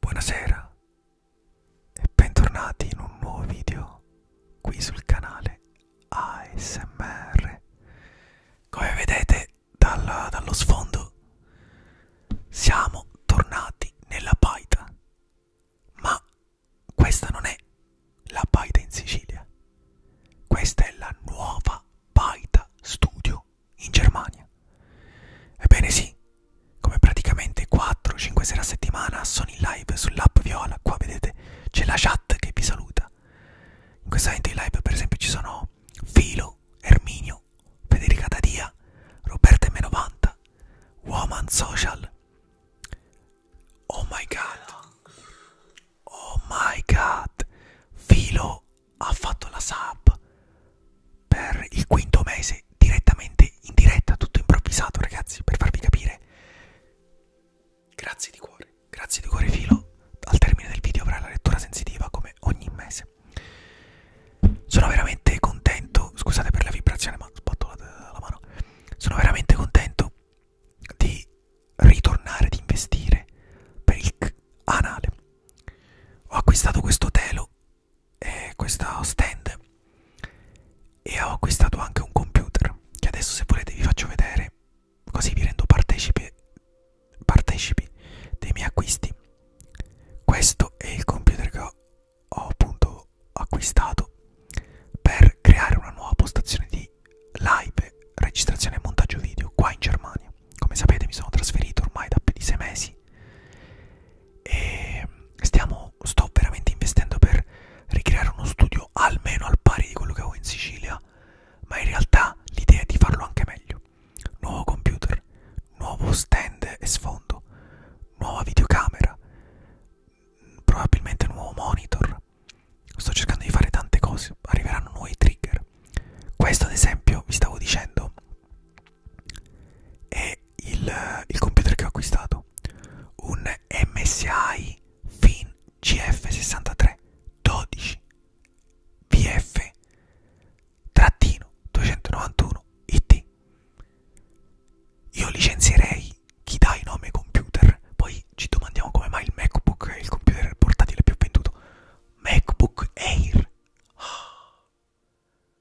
Buonasera e bentornati in un nuovo video qui sul canale ASMR. Come vedete dal, dallo sfondo siamo tornati nella paita, ma questa non è la paita in Sicilia, questa è la nuova paita studio in Germania. Ebbene sì, come praticamente 4-5 sere a settimana sono in live sull'app Viola, qua vedete c'è la chat che vi saluta. In questo momento in live per esempio ci sono Filo, Erminio, Federica Tadia, Roberta M90, Woman Social. Oh my god, oh my god, Filo ha fatto la sub per il quinto mese direttamente in diretta, tutto improvvisato ragazzi, per farvi capire. Grazie di cuore, grazie di cuore filo, al termine del video avrà la lettura sensitiva come ogni mese. Sono veramente contento, scusate per la vibrazione ma sbatto la, la mano, sono veramente contento di ritornare, di investire per il canale. Ho acquistato questo telo eh, questo stand e ho acquistato anche un computer che adesso se volete vi faccio vedere così vi rendo partecipi, partecipi dei miei acquisti questo è il computer che ho, ho appunto acquistato per creare una nuova postazione di live registrazione e montaggio video qua in Germania come sapete mi sono trasferito ormai da più di sei mesi e stiamo, sto veramente investendo per ricreare uno studio almeno al pari di quello che avevo in Sicilia, ma in realtà l'idea è di farlo anche meglio. Nuovo computer, nuovo stand e sfondo, nuova videocamera, probabilmente nuovo monitor. Sto cercando di fare tante cose, arriveranno nuovi trigger. Questo ad esempio, vi stavo dicendo, è il, il computer che ho acquistato un MSI Fin GF63 12 VF trattino 291 IT io licenzierei chi dà i nomi ai computer poi ci domandiamo come mai il MacBook è il computer portatile più venduto MacBook Air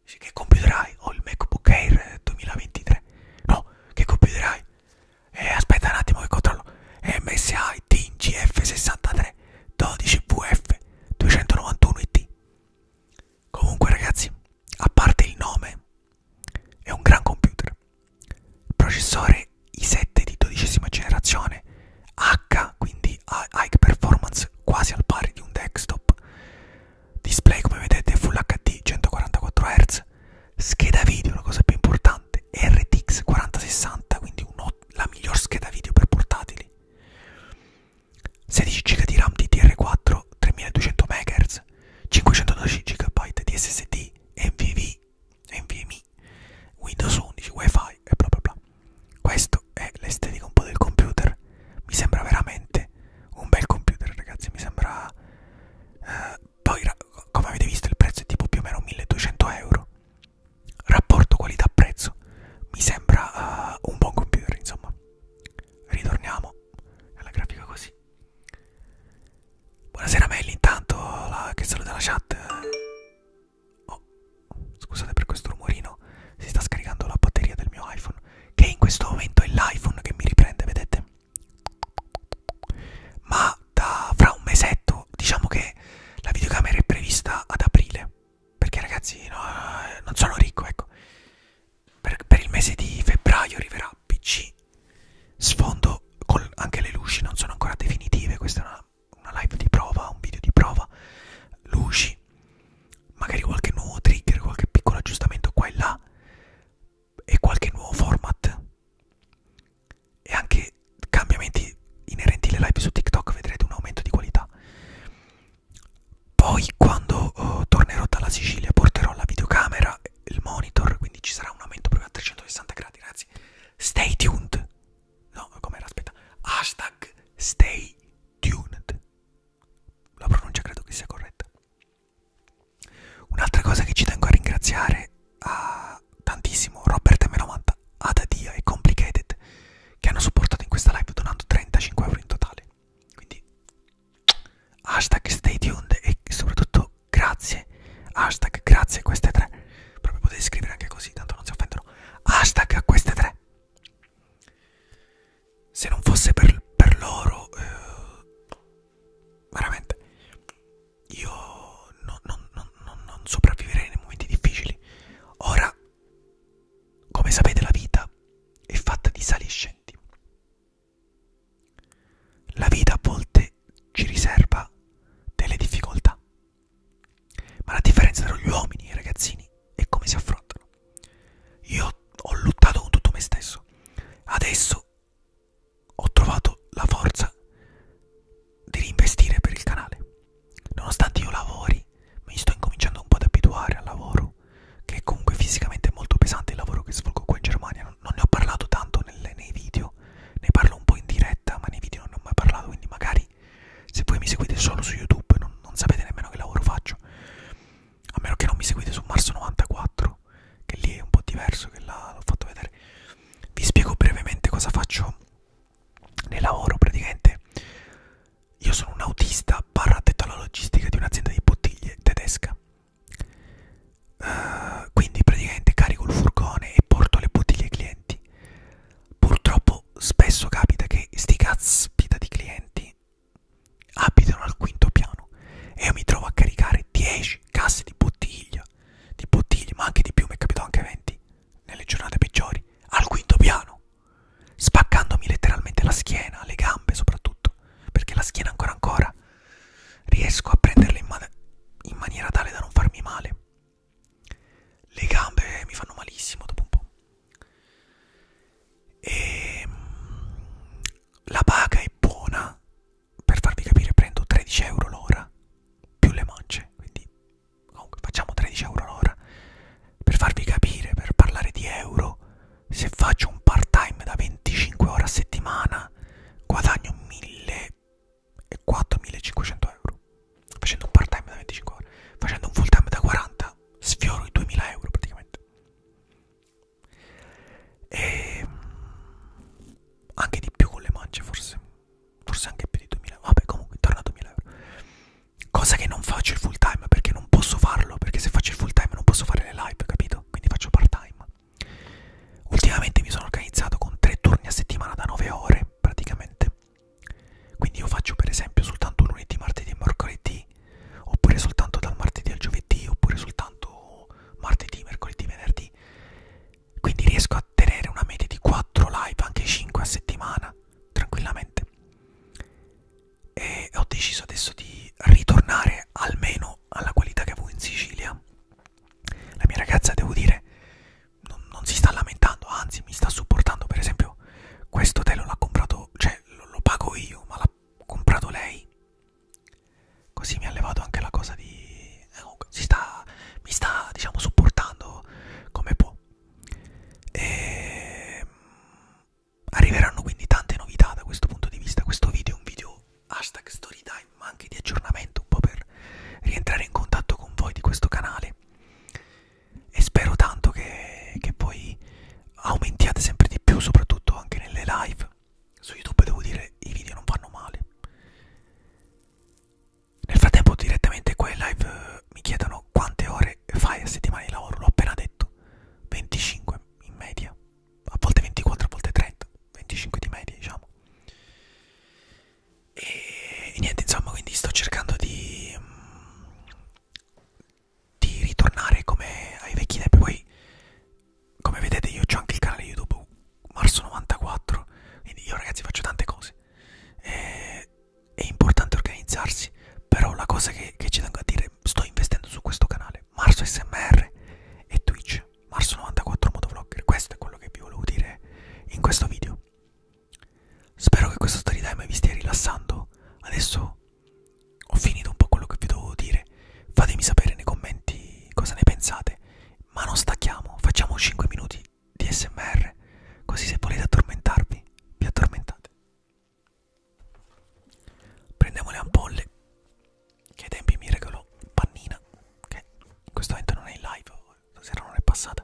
Dice, che computer hai? Ho il MacBook Air 2023. No, che computer hai? Eh, aspetta un attimo che controllo. MSI TGF 63 12VF 291IT. Comunque ragazzi, a parte il nome, è un gran computer. Processore i7 di dodicesima generazione H, quindi di high performance quasi al pari di un desktop display come vedete full hd 144 hz scheda video la cosa più importante rtx 4060 quindi un, la miglior scheda video per portatili 16 GB di ram DDR4 3200 MHz 512 GB di SSD NVV NVMe Windows 11 Wi-Fi e bla bla bla questo è l'estetica un po' del computer mi sembra veramente un bel computer ragazzi mi sembra eh, poi come avete visto il prezzo è tipo più o meno 1200 euro rapporto qualità prezzo mi sembra uh, un buon computer insomma ritorniamo alla grafica così buonasera Melli intanto la, che saluta la chat oh Scusate per questo rumorino, si sta scaricando la batteria del mio iPhone, che in questo momento è l'iPhone che mi riprende, vedete? Ma da fra un mesetto, diciamo che la videocamera è prevista ad aprile, perché ragazzi no, non sono ricco, ecco. Per, per il mese di febbraio arriverà PC, sfondo con anche le luci, non sono ancora definitive, questa è una, una live di prova, un video di prova, luci oggi magari qualche nuovo trigger qualche piccolo aggiustamento qua e là e qualche nuovo format e anche cambiamenti inerenti alle live su TikTok vedrete un aumento di qualità poi quando oh, tornerò dalla Sicilia porterò la videocamera il monitor quindi ci sarà un aumento proprio a 360 gradi ragazzi stay tuned no com'era aspetta hashtag stay tuned la pronuncia credo che sia corretta. Un'altra cosa che ci tengo a ringraziare a tantissimo Robert Melomanta, Adadia e Complicated che hanno supportato in questa live donando 35 euro in totale. Quindi hashtag stay tuned e soprattutto grazie, hashtag grazie a queste tre. Proprio potete scrivere anche così, tanto non si offendono. Hashtag a queste tre se non fosse per, per loro, eh, veramente, io non, non, non, non sopravviverei nei momenti difficili. Ora, come sapete, la vita è fatta di sali e scendi. La vita a volte ci riserva delle difficoltà, ma la differenza tra gli uomini e i ragazzini è come si affrontano. Io ho lottato con tutto me stesso. Adesso ho trovato la forza di reinvestire per il canale. Nonostante io lavori, mi sto incominciando un po' ad abituare al lavoro, che è comunque fisicamente molto pesante il lavoro che svolgo qua in Germania. Non ne ho parlato tanto nelle, nei video, ne parlo un po' in diretta, ma nei video non ne ho mai parlato, quindi magari mai. Se voi mi seguite solo su YouTube non, non sapete nemmeno che lavoro faccio. A meno che non mi seguite su Marzo 94, che lì è un po' diverso, che l'ho fatto vedere. Vi spiego brevemente cosa faccio nel lavoro praticamente. Io sono un autista barra addetto alla logistica di un'azienda di bottiglie tedesca. Uh, quindi praticamente carico il furgone e porto le bottiglie ai clienti. Purtroppo spesso capita che sti caspita di clienti abitano al quinto piano e io mi trovo a caricare 10 casse di bottiglia, di bottiglie, ma anche di più, mi è capitato anche 20 nelle giornate peggiori, al quinto piano, spaccandomi letteralmente la schiena, le gambe soprattutto, perché la schiena ancora ancora riesco a prenderla in, man in maniera tale da non farmi male. Le gambe mi fanno malissimo dopo un po' e ehm, la paga è buona per farvi capire prendo 13 euro l'ora più le mance quindi comunque facciamo 13 euro l'ora per farvi capire per parlare di euro se faccio un part time da 25 ore a settimana guadagno 1400-1500 euro facendo un part time da 25 ore facendo un full time da 40 sfioro i 2000 euro praticamente e mm, anche di più con le mance forse forse anche più di 2000 vabbè comunque torna a 2000 euro cosa che non faccio il full time perché non posso farlo perché se faccio il full time non posso fare le live capito quindi faccio part time ultimamente mi sono organizzato con tre turni a settimana da 9 ore praticamente quindi io faccio per esempio soltanto lunedì, martedì e mercoledì, oppure soltanto dal martedì al giovedì, oppure soltanto martedì, mercoledì, venerdì. Quindi riesco a tenere una media di 4 live, anche 5 a settimana, tranquillamente. E ho deciso adesso di ritornare almeno alla qualità che avevo in Sicilia. La mia ragazza, devo dire, non, non si sta lamentando, anzi mi sta supportando, per esempio io. Questo telo l'ha comprato, cioè lo, lo pago io, ma l'ha comprato lei. Così mi ha levato anche la cosa di... Eh, si sta, mi sta, diciamo, supportando come può. E... Ehm, arriveranno quindi tante novità da questo punto di vista. Questo video è un video hashtag storytime, ma anche di aggiornamento, un po' per rientrare in contatto con voi di questo canale e spero tanto che, che poi aumentiate sempre di più, soprattutto anche nelle live. Su YouTube devo dire i video non vanno male. Nel frattempo direttamente qua in live eh, mi chiedono quante ore fai a settimana di lavoro, l'ho appena detto, 25 in media, a volte 24, a volte 30, 25 di media diciamo. E, e niente, insomma, quindi sto cercando di, mm, di ritornare come ai vecchi tempi. Poi, come vedete, io ho anche il canale YouTube Marzo94, quindi io ragazzi faccio tante cose. E, è importante organizzarsi, però la cosa che, che ci tengo a dire, sto investendo su questo canale, Marzo SMR e Twitch, Marzo94 Motovlogger, questo è quello che vi volevo dire in questo video. Spero che questo storytime vi stia rilassando. Adesso ho finito un po' quello che vi dovevo dire. Fatemi sapere nei commenti cosa ne pensate. Ma non stacchiamo, facciamo 5 minuti di SMR. Così se volete addormentarvi, vi addormentate. Prendiamo le ampolle. Che ai tempi mi regolò Pannina. Che in questo momento non è in live, stasera non è passata.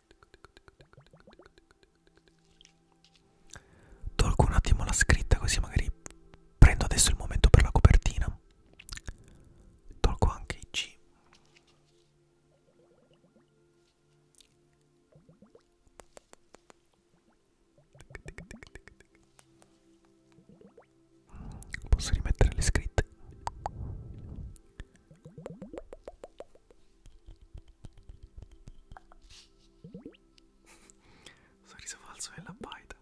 Tolgo un attimo la scritta così magari prendo adesso il momento per la copertina. Tolgo anche i G. Posso rimettere le scritte? Sorriso falso e la baita.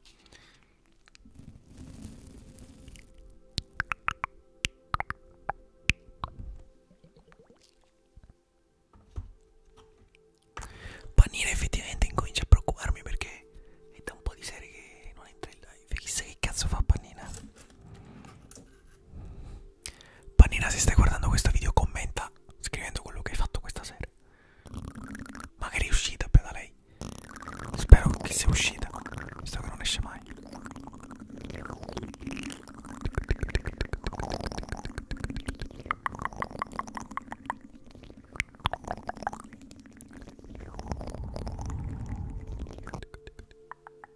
Pannina effettivamente incomincia a preoccuparmi perché è da un po' di serie che non entra in live. Chissà che cazzo fa Pannina. Pannina se stai guardando questo video commenta scrivendo quello che hai fatto questa sera Magari è uscita per da lei Spero che sia uscita Visto che non esce mai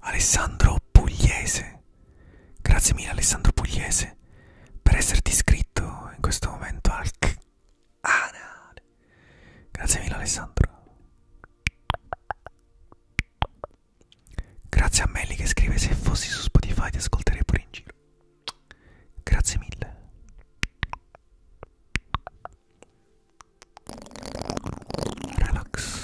Alessandro Pugliese, grazie mille Alessandro Pugliese per esserti iscritto in questo momento al Anad. Grazie mille Alessandro. Grazie a Melli che scrive se fossi su Spotify ti ascolterei pure in giro. Grazie mille. Relax.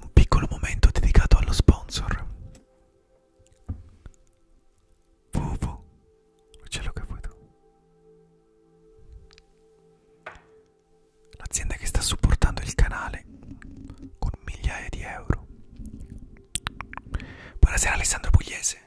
Un piccolo momento dedicato allo sponsor Vuvu Ce l'ho capito L'azienda che sta supportando il canale Con migliaia di euro Buonasera Alessandro Pugliese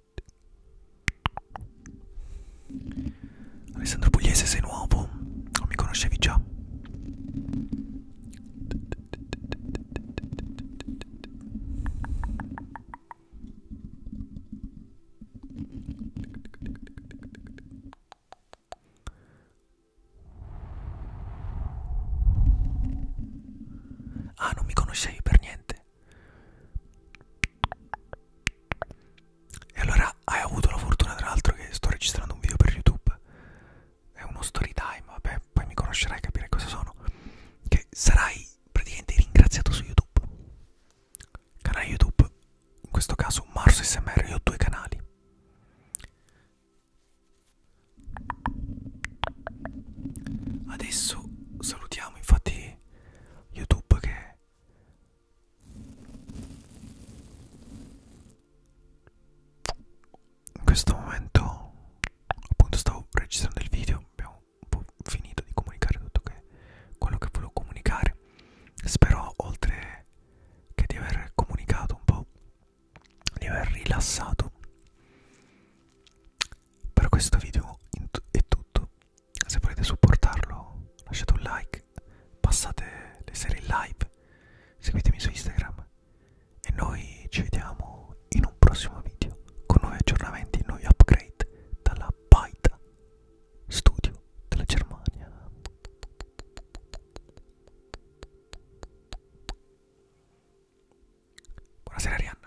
Alessandro Pugliese sei nuovo, non mi conoscevi già. Ah, non mi conoscevi per niente. E allora hai avuto la fortuna tra l'altro che sto registrando un video per YouTube. È uno story time, vabbè, poi mi conoscerai e capirai cosa sono. Che sarai praticamente ringraziato su YouTube. Canale YouTube, in questo caso Marzo SMR, io ho due canali. Adesso salutiamo infatti YouTube che in questo momento appunto stavo registrando il video abbiamo un po' finito di comunicare tutto che, quello che volevo comunicare spero oltre che di aver comunicato un po' di aver rilassato per questo video è tutto se volete supportarlo lasciate un like passate le serie in live seguitemi su Instagram e noi ci vediamo in un prossimo video con nuovi aggiornamenti nuovi upgrade dalla Baita Studio della Germania buonasera Arianna